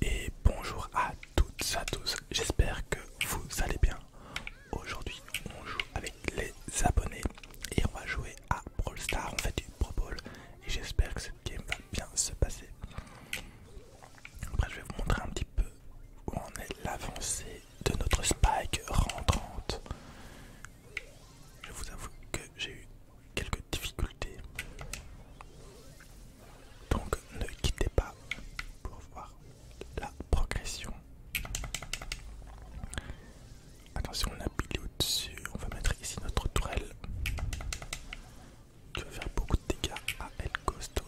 Et bonjour à toutes et à tous, j'espère que vous allez bien. Aujourd'hui on joue avec les abonnés et on va jouer à Brawl Star, on fait du Pro Bowl et j'espère que cette game va bien se passer. Après je vais vous montrer un petit peu où en est l'avancée de notre spike rentrante. Je vous avoue que j'ai eu quelques difficulté Donc ne quittez pas pour voir la progression. Attention, on a pile au-dessus. On va mettre ici notre tourelle qui va faire beaucoup de dégâts à El Costo.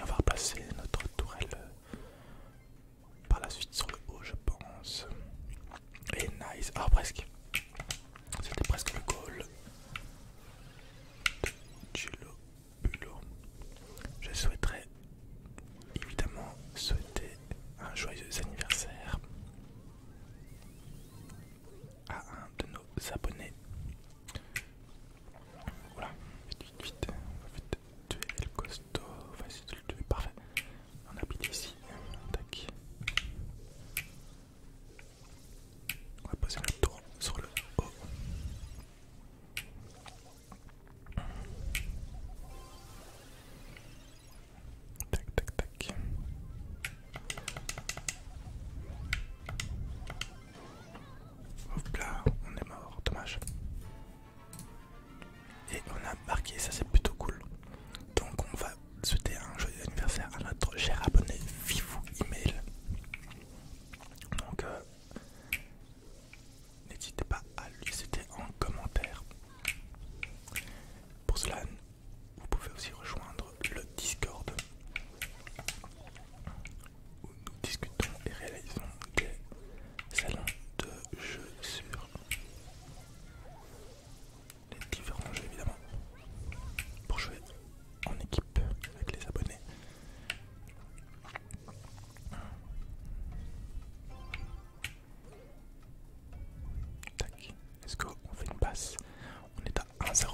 On va repasser notre tourelle par la suite sur le haut, je pense. Et nice. alors ah, presque. C'était presque le goal de Cello Bulo. Je souhaiterais évidemment souhaiter un joyeux anniversaire à un de nos abonnés. Voilà, vite, vite, vite. on va vite tuer le costaud, enfin si le tuer, parfait. On habite ici, tac. On va poser le tour sur le haut. Tac tac tac. Hop là, on est mort, dommage. Et on a marqué, ça c'est plutôt cool. Donc on va souhaiter un joyeux anniversaire à notre cher abonné Vivou Email. Donc, euh, n'hésitez pas à lui citer en commentaire. Pour cela, vous pouvez aussi rejoindre le Discord où nous discutons et réalisons des salons de jeux sur les différents jeux évidemment pour jouer en équipe avec les abonnés. Tac, let's go, on fait une passe, on est à 1-0.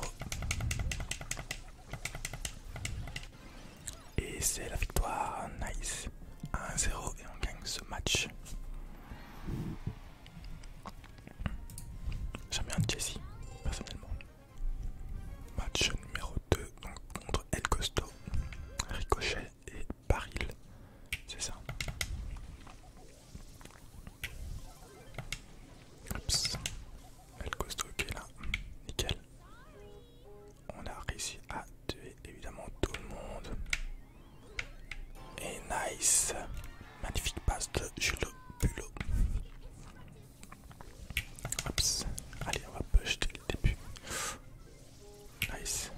Et c'est la victoire, nice. 1-0 et on gagne ce match. J'aime bien Jessie, personnellement. Match numéro 2, donc contre El Costo, Ricochet et Baril. C'est ça. Oups. El Costo qui est là. Nickel. On a réussi à tuer évidemment tout le monde. Et nice. Magnifique passe de Julo Bulot. Allez, on va pusher jeter le début. Nice.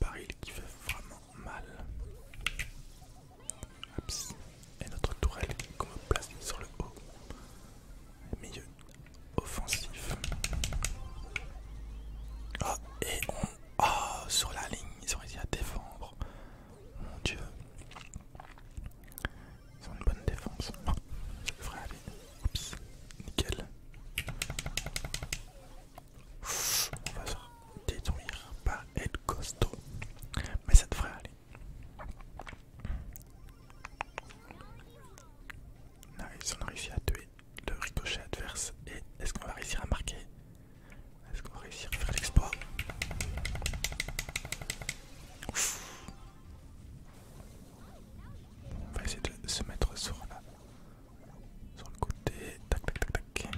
Baril qui fait vraiment mal. Et notre tourelle qu'on place sur le haut. Milieu offensif. Oh et on Oh, sur la ligne, ils ont réussi à défendre. Mon dieu. Ils ont une bonne défense. Non, ah, devrait aller. Oups, nickel. on va se détruire par être costaud. Mais ça devrait aller. Ils on ont réussi à tuer le ricochet adverse et est-ce qu'on va réussir à marquer Est-ce qu'on va réussir à faire l'exploit On va essayer de se mettre sur, la, sur le côté. Tac tac tac tac.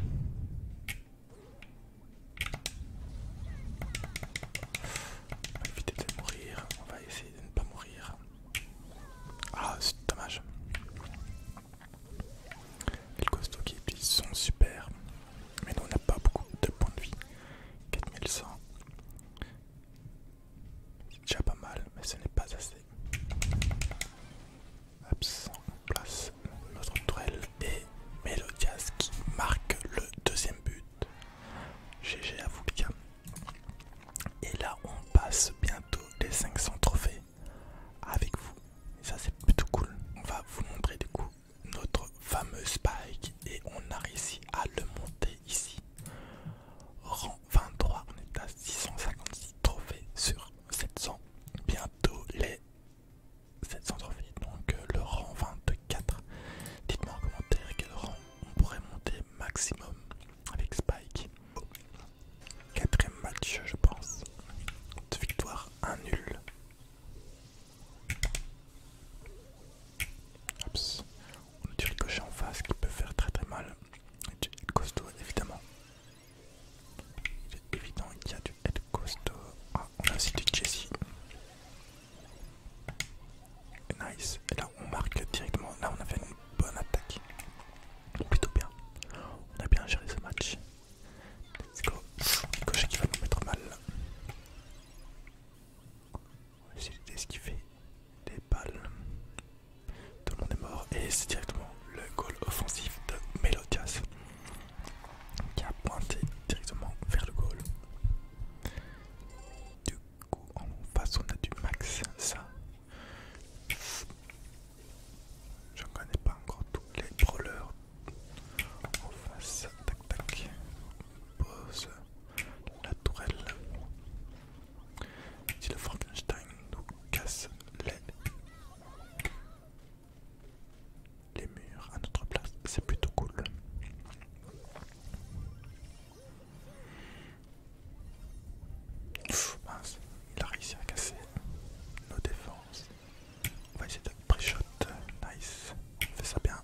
On va éviter de mourir, on va essayer de ne pas mourir. Ah, c'est dommage. Les costauds qui sont super, mais nous on n'a pas beaucoup de points de vie. 4100. C'est déjà pas mal, mais ce n'est pas assez. Absent place notre tourelle et Melodias qui marque le deuxième but. GG à vous et là, on passe bientôt les 500 trophées avec vous. ça, c'est plutôt cool. On va vous montrer du coup notre fameux Spike et on a réussi à le monter ici. Rang 23, on est à 656 trophées sur 700. Bientôt les 700 trophées, donc euh, le rang 24. Dites-moi en commentaire quel rang on pourrait monter maximum avec Spike. Quatrième match, je pense. De victoire, un nul. On a du Ricochet en face qui peut faire très très mal. Du head costaud, évidemment. Il est évident qu'il y a du head costaud. Ah, on a aussi du Jesse. Nice. Et là, on marque directement. Là, on a fait bonne attaque. Plutôt bien. On a bien géré ce match. Let's go. cocher qui va nous mettre mal. On va essayer d'esquiver les balles. Tout le monde est mort. Et c'est directement le goal offensif de Melodias qui a pointé directement vers le goal. Du du coup, en face, on a du max, ça. Je connais pas encore tous les brawlers. En face, tac tac. Pose la tourelle. Si le Frankenstein nous casse les murs à notre place, c'est plutôt cool. Pff, mince, il a réussi à casser nos défenses. On va essayer de pré-shot. Nice, on fait ça bien.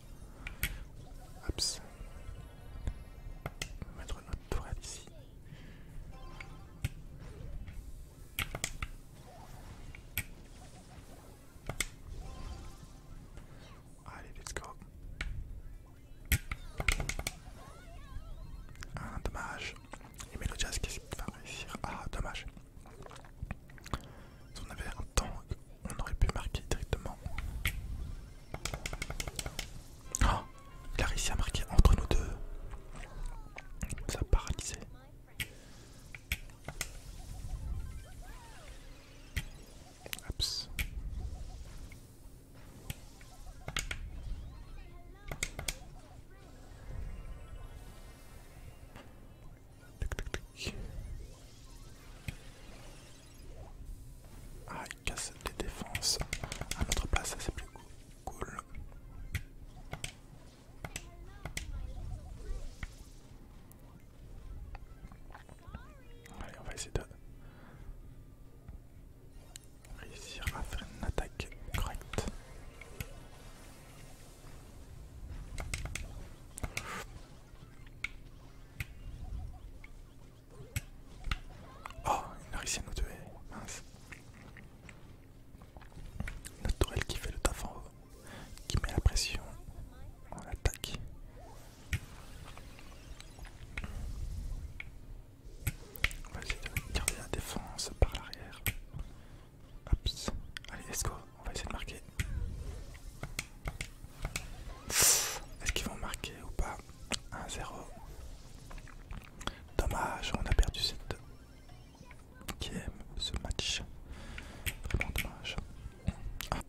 Hops. On va mettre notre tourelle ici. Allez, let's go. Ah, dommage. Les Melodias, qu'est-ce qu'il va réussir Ah, dommage. Si on avait un temps, on aurait pu marquer directement. Oh, il a réussi à marquer entre nous deux. Ça a paralysé. Oups. Ah, il casse des défenses. À notre place, ça c'est plus cool. Allez, on va essayer de réussir à faire une attaque correcte. Oh, il a réussi à nous tuer, mince. Notre tourelle qui fait le taf en haut, qui met la pression, on attaque. On va essayer de garder la défense par l'arrière. Allez, let's go. On va essayer de marquer. Est-ce qu'ils vont marquer ou pas 1-0. Dommage, on a perdu cette game, ce match. Vraiment dommage.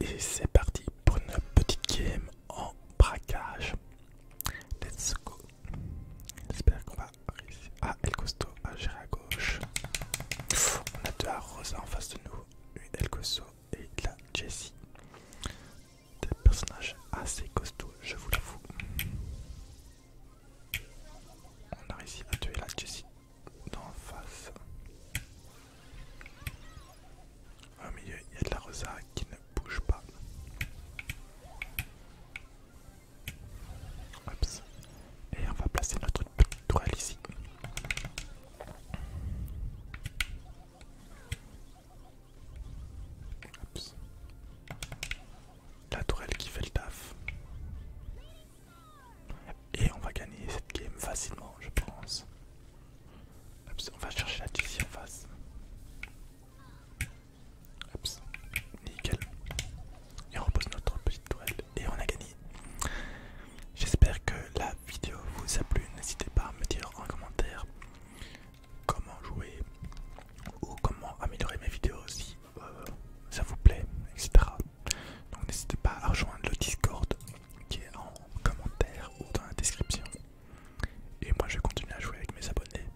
Et c'est parti pour une petite game en braquage. Let's go. J'espère qu'on va réussir. Ah, El Costo à gérer à gauche. On a deux Rosa en face de nous. Une El Costo et la Jessie. Des personnages assez costauds, je vous l'avoue. On a réussi à tuer la Jessie en face. Au ah, milieu, il y a de la rosa qui ne bouge pas. Et on va placer notre petite tourelle ici. La tourelle qui fait le taf. Et on va gagner cette game facilement, je pense. on va chercher la deuxième en face. nickel. Et on repose notre petite tourelle. Et on a gagné. J'espère que la vidéo vous a plu. N'hésitez pas à me dire en commentaire comment jouer ou comment améliorer mes vidéos si euh, ça vous plaît, etc. Donc n'hésitez pas à rejoindre le Discord qui est en commentaire ou dans la description. Et moi je vais continuer à jouer avec mes abonnés.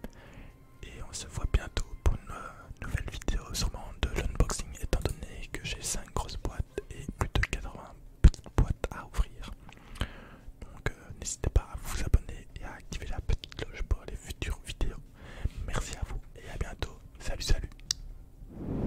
Et on se voit bientôt pour une euh, nouvelle vidéo sûrement de l'unboxing étant donné que j'ai 5 grosses boîtes et plus de 80 petites boîtes à ouvrir. Donc euh, n'hésitez pas à vous abonner et à activer la petite cloche pour les futures vidéos. Merci à vous et à bientôt. Salut salut